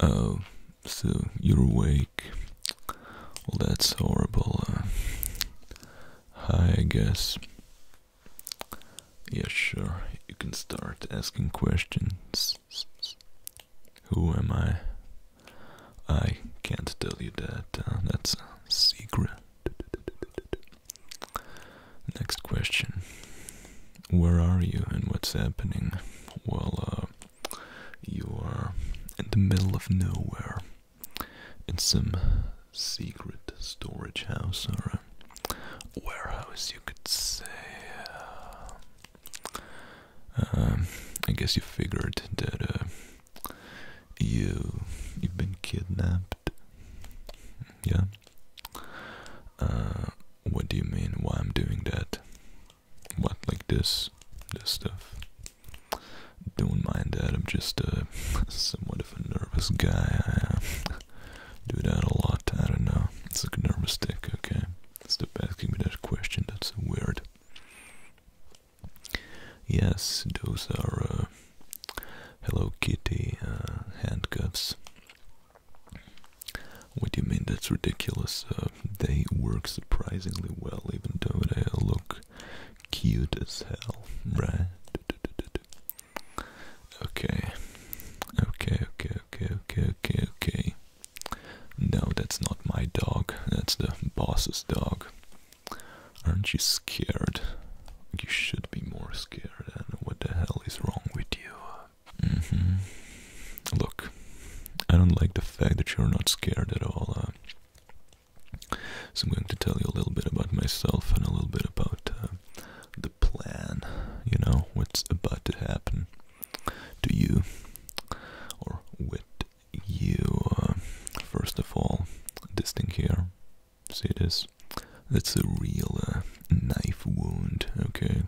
Oh, so you're awake. Well, that's horrible. Uh, hi, I guess. Yeah, sure. You can start asking questions. Who am I? I can't tell you that. Uh, that's a secret. Next question where are you and what's happening? Well, uh, you are in the middle of nowhere in some secret storage house or warehouse, you could say. Um, I guess you figured that uh, you you've been kidnapped. Yeah. Uh, what do you mean? Why I'm doing that? What like this? This stuff? Don't mind that. I'm just uh, a somewhat of a nervous guy. I uh, do that a lot. I don't know. It's like a nervous tick. Okay. Stop asking me that question. That's weird. Yes, those are uh, Hello Kitty handcuffs. What do you mean? That's ridiculous. Uh, they work surprisingly well, even though they look cute as hell, right? Okay, okay, okay, okay, okay, okay, okay. No, that's not my dog. That's the boss's dog. Aren't you scared? You should be more scared. And what the hell is wrong with you? Mm-hmm. Look, I don't like the fact that you're not scared at all. Uh. so I'm going to tell you a little bit about myself and a little bit about uh, the plan. You know what's about to happen to you or with you. Uh. first of all, this thing here. See this? That's a real knife wound. Okay.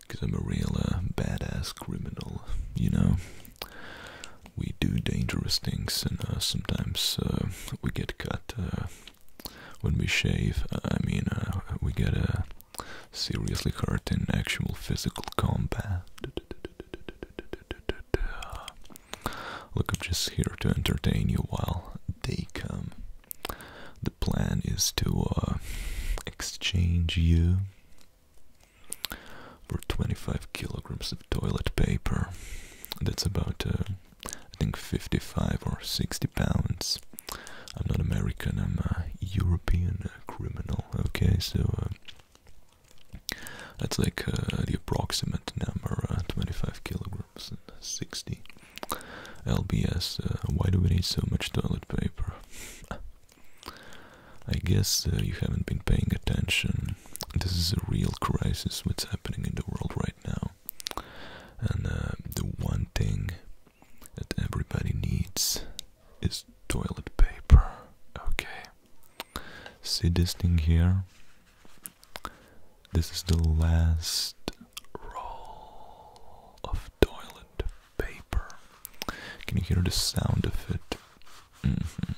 Because I'm a real uh, badass criminal, you know. We do dangerous things, and uh, sometimes uh, we get cut when we shave. I mean, we get seriously hurt in actual physical combat. Look, I'm just here to entertain you while they come the plan is to uh, exchange you for 25 kilograms of toilet paper. That's about, uh, I think, 55 or 60 pounds. I'm not American, I'm a European uh, criminal, okay? So that's like the approximate number 25 kilograms and 60 LBS. why do we need so much toilet paper? I guess uh, you haven't been paying attention. This is a real crisis what's happening in the world right now. And uh, the one thing that everybody needs is toilet paper. Okay. See this thing here? This is the last roll of toilet paper. Can you hear the sound of it? Mm-hmm.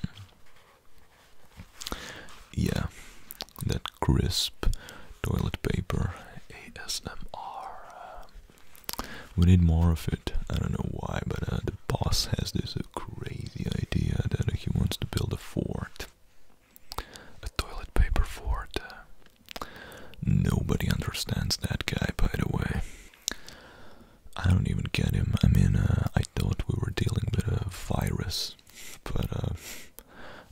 Yeah, that crisp toilet paper ASMR. We need more of it. I don't know why, but uh, the boss has this uh, crazy idea that he wants to build a fort. A toilet paper fort. Nobody understands that guy, by the way. I don't even get him. I mean, uh, I thought we were dealing with a virus, but uh,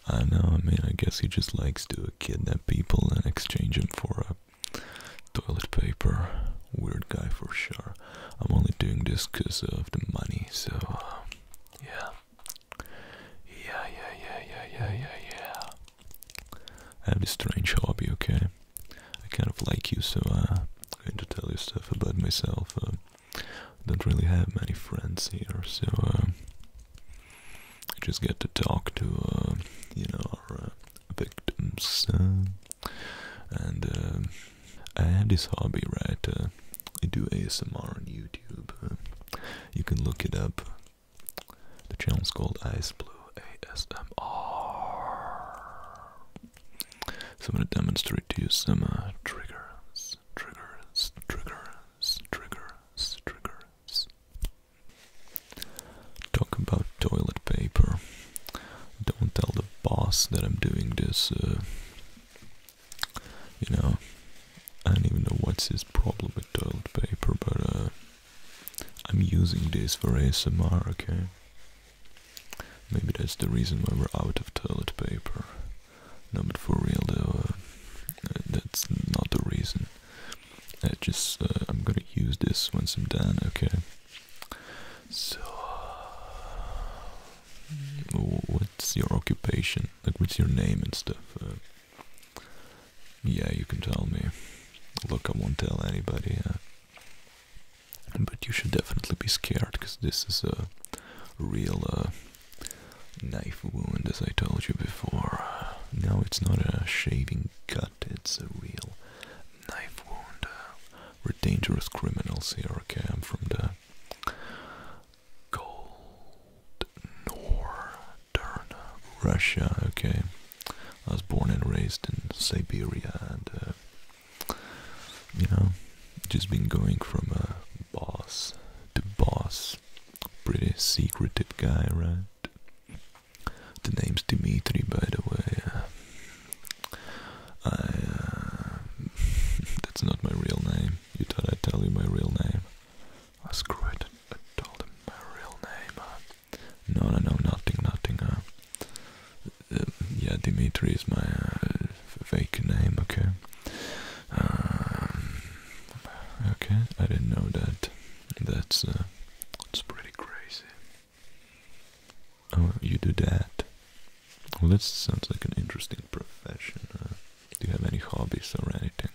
I know. I mean, I guess he just likes to kidnap people and exchange them for a toilet paper. Weird guy for sure. I'm only doing this because of the money, so uh, Yeah, yeah, yeah, yeah, yeah, yeah, yeah. I have this strange hobby, okay? I kind of like you, so uh, I'm going to tell you stuff about myself. Uh, don't really have many friends here, so uh, I just get to talk to, uh, you know, our victims. and I have this hobby, right? I do ASMR on YouTube. you can look it up. The channel's called Ice Blue ASMR. So I'm gonna demonstrate to you some triggers, triggers, triggers, triggers, triggers. Talk about toilet paper. Don't tell the boss that I'm doing this. you know, I don't even know what's his problem with toilet paper, but uh, I'm using this for ASMR, okay? Maybe that's the reason why we're out of toilet paper. No, but for real though, uh, that's not the reason. I just, uh, I'm gonna use this once I'm done, okay? So, what's your occupation? Like, what's your name and stuff? Uh? Yeah, you can tell me. Look, I won't tell anybody. but you should definitely be scared, because this is a real uh, knife wound, as I told you before. No, it's not a shaving cut, it's a real knife wound. we're dangerous criminals here, okay? I'm from the Gold Nor Darn, Russia, okay. I was born and raised in Siberia and, uh, you know, just been going from a boss to boss. Pretty secretive guy, right? The name's Dmitri, by the way. I, uh, that's not my real name. You thought I'd tell you my real name? I screwed it. I told him my real name. No, no, no, nothing, nothing. Uh, uh, yeah, Dimitri is my uh, fake name, okay? Um, okay, I didn't know that. That's, that's pretty crazy. Oh, you do that? Well, that sounds like an interesting profession. do you have any hobbies or anything?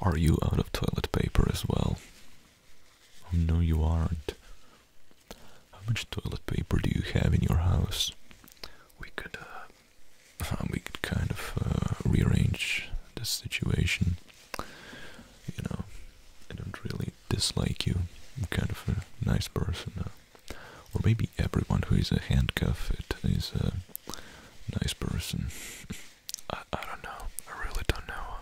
Are you out of toilet paper as well? Oh, no, you aren't. How much toilet paper do you have in your house? We could, uh, we could kind of uh, rearrange the situation. You know, I don't really dislike you. I'm kind of a nice person, uh, or maybe everyone who is a handcuff it is a nice person. I, I don't know. I really don't know.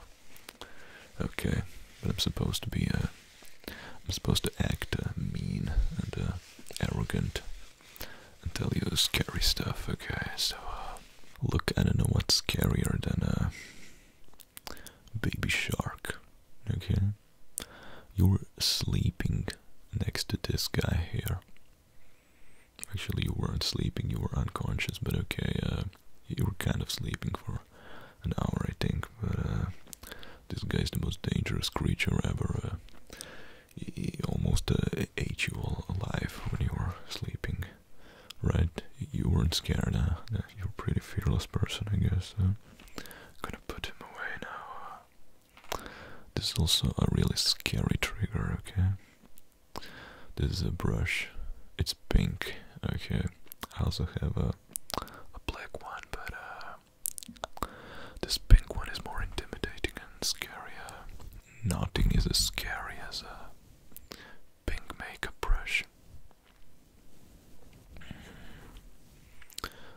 Okay, but I'm supposed to be, a uh, am supposed to act uh, mean and uh, arrogant and tell you scary stuff, okay? So, look, I don't know what's scarier than a baby shark, okay? You're sleeping next to this guy here. Actually, you weren't sleeping, you were unconscious, but okay, uh, you were kind of sleeping for an hour, I think. But uh, this guy's the most dangerous creature ever. Uh, he, almost uh, ate you all alive when you were sleeping, right? You weren't scared, You're a pretty fearless person, I guess. gonna put him away now. This is also a really scary trigger, okay? This is a brush. It's pink. Okay. I also have a a black one, but uh, this pink one is more intimidating and scarier. Nothing is as scary as a pink makeup brush.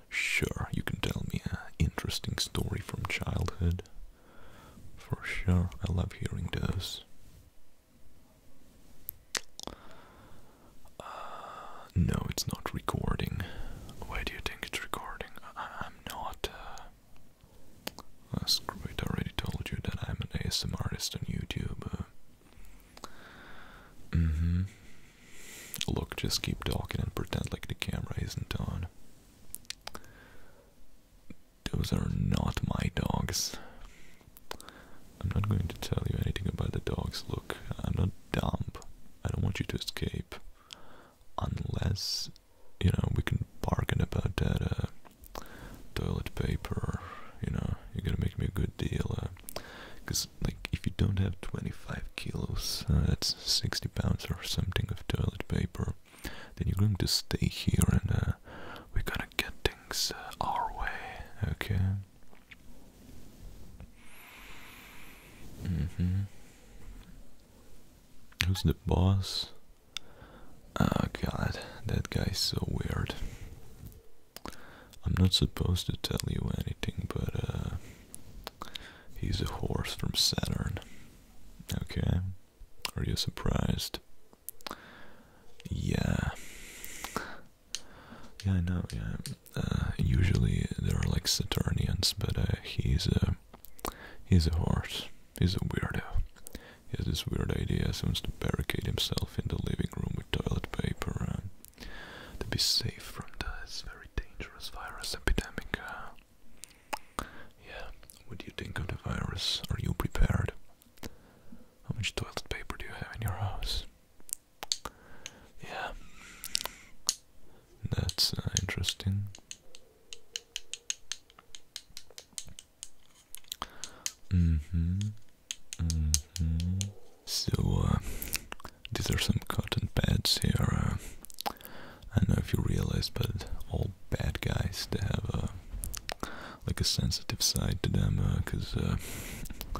Sure, you can tell me an interesting story from childhood. For sure, I love hearing those. Uh, no, it's not recording. Why do you think it's recording? I am not. Uh, oh, screw it, I already told you that I'm an ASMR on YouTube. hmm. Look, just keep talking and pretend like the camera isn't on those are not my dogs. I'm not going to tell you anything about the dogs. Look, I'm not dumb. I don't want you to escape. Unless, you know, we can bargain about that uh, toilet paper. You know, you're gonna make me a good deal. Because, uh, like, if you don't have 25 kilos, uh, that's 60 pounds or something of toilet paper then you're going to stay here and uh, we're gonna get things uh, our way, okay? Mm-hmm. Who's the boss? Oh god, that guy's so weird. I'm not supposed to tell you anything, but uh, he's a horse from Saturn. Okay. Are you surprised? Yeah. Yeah, I know, yeah. Uh, usually they are like Saturnians, but uh, he's a he's a horse. He's a weirdo. He has this weird idea. He wants to barricade himself in the living room with toilet paper to be safe from this very dangerous virus epidemic. Uh, yeah, what do you think of the virus? Are you prepared? How much toilet paper do you have in your house? Yeah, that's uh, interesting. hmm hmm So, uh, these are some cotton pads here. Uh, I don't know if you realize, but all bad guys to have a like a sensitive side to them because uh, uh,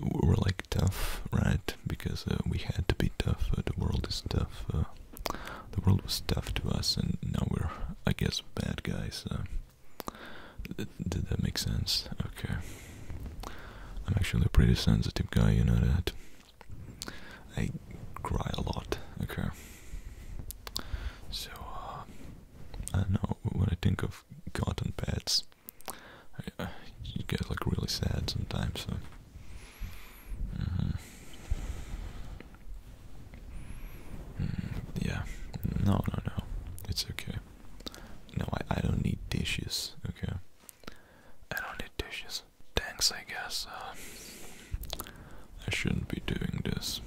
we're like tough, right? Because uh, we had to be tough. the world is tough. the world was tough to us, and now we're, I guess, bad guys. did that make sense? Okay. I'm actually a pretty sensitive guy, you know that. I cry a lot. Okay. So uh, I don't know when I think of cotton pads, I, uh, you get like really sad sometimes. So. Mm-hmm. Mm, yeah. No, no, no. It's okay. No, I I don't need dishes. Okay. I don't need dishes. Thanks, I guess. Uh. I shouldn't be doing this.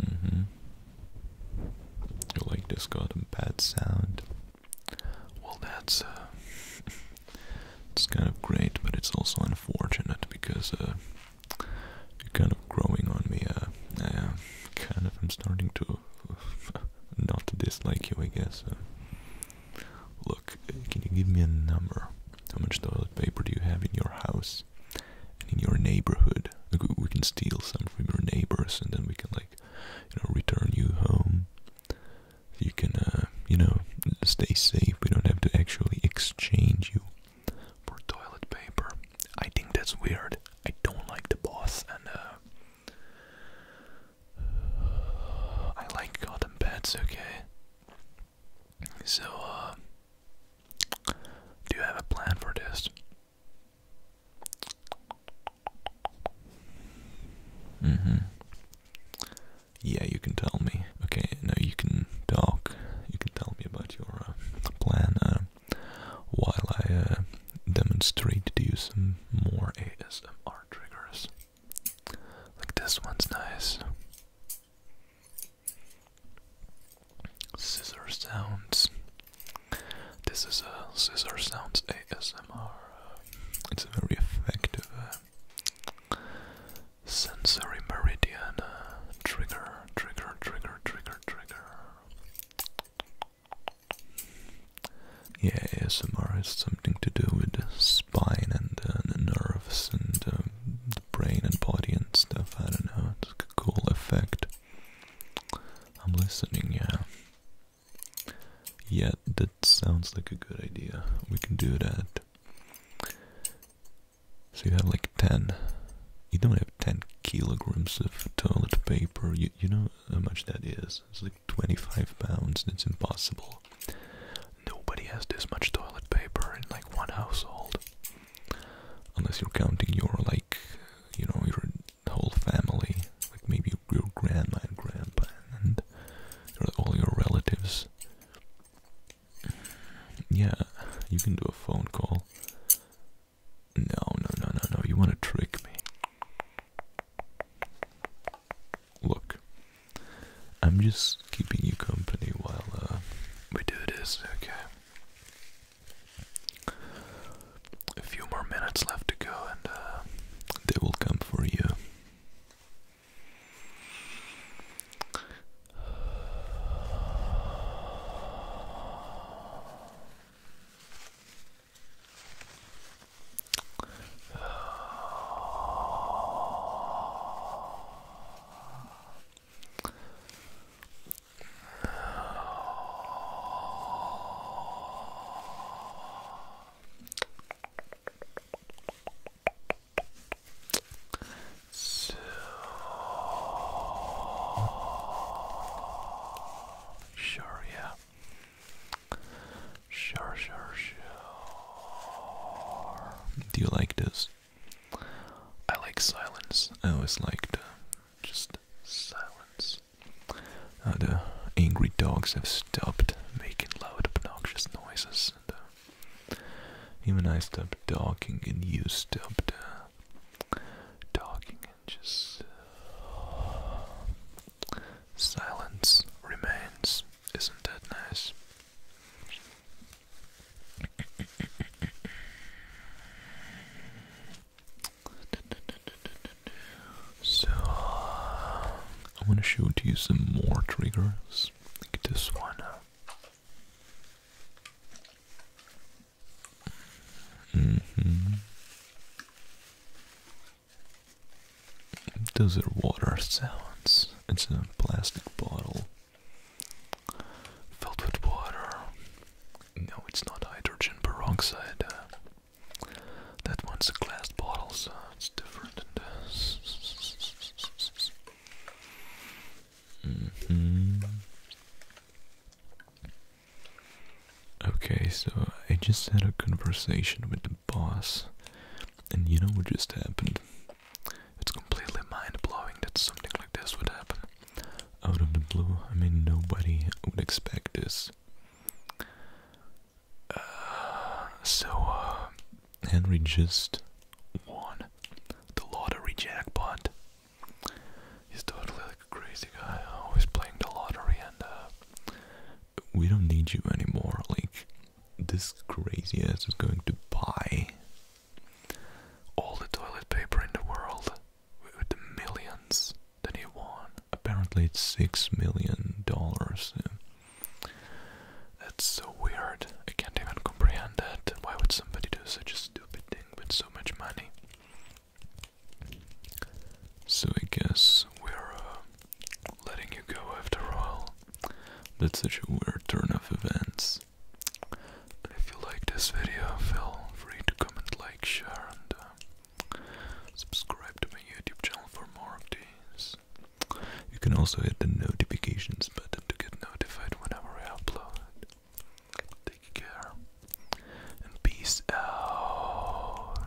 Mm hmm. You like this golden bad sound? Well, that's uh, it's kind of great, but it's also unfortunate because uh, you're kind of growing on me. Uh, uh, kind of i am starting to not dislike you, I guess. Uh, Look, can you give me a number? How much toilet paper do you have in your house and in your neighborhood? we can steal some from your neighbors, and then we can like, you know, return you home. You can, uh, you know, stay safe. We don't have to actually exchange you for toilet paper. I think that's weird. I don't like the boss, and uh, I like cotton pads. Okay. So, uh, do you have a plan for this? Mm hmm. Yeah, you can tell me. Okay, now you can talk. You can tell me about your uh, plan uh, while I demonstrate to you some more ASMR triggers. Like this one's nice. Scissor sounds. This is a uh, scissor sounds ASMR. It's a very effective uh, sensory meridian uh, trigger, trigger, trigger, trigger, trigger. Yeah, ASMR has something to do with the spine and uh, the nerves and uh, the brain and body and stuff. I don't know. It's a cool effect. I'm listening, yeah. Yeah, that sounds like a good idea. We can do that. So you have like 10. You don't have 10 kilograms of toilet paper. You, you know how much that is? It's like 25 pounds. It's impossible. Nobody has this much toilet paper in like one household. Unless you're counting your like, you know, your whole family, like maybe your grandma and grandpa and all your relatives. Yeah, you can do a phone call. No, no, no, no, no, you want to trick me. Look, I'm just keeping you company while uh, we do this, okay? A few more minutes left to go, and uh, they will come for you sure, yeah. Sure, sure, sure. Do you like this? I like silence. I always liked uh, just silence. Uh, the angry dogs have stopped making loud, obnoxious noises. Uh, even I stopped talking, and you stopped uh, talking, and just silence remains. Isn't that nice? So, I want to show to you some more triggers, like this one. -hmm. Those are water sounds. It's a plastic bottle Filled with water. No, it's not hydrogen peroxide. Uh, that one's a glass bottle, so it's different mm-hmm. Okay, so I just had a conversation with the boss, and you know what just happened? It's completely mind blowing that something like this would happen. Out of the blue, I mean, nobody would expect this. Uh, so, uh, Henry just won the lottery jackpot. He's totally like a crazy guy, always playing the lottery, and uh, we don't need you anymore. Like, this crazy ass is going to buy all the toilet paper in the world with the millions that he won. Apparently, it's six million dollars. That's so weird. I can't even comprehend that. Why would somebody do such a stupid thing with so much money? So I guess we're uh, letting you go after all. That's such a weird turn of events. If you like this video, feel free to comment, like, share, and uh, subscribe to my YouTube channel for more of these. You can also hit the notifications button to get notified whenever I upload. Take care and peace out.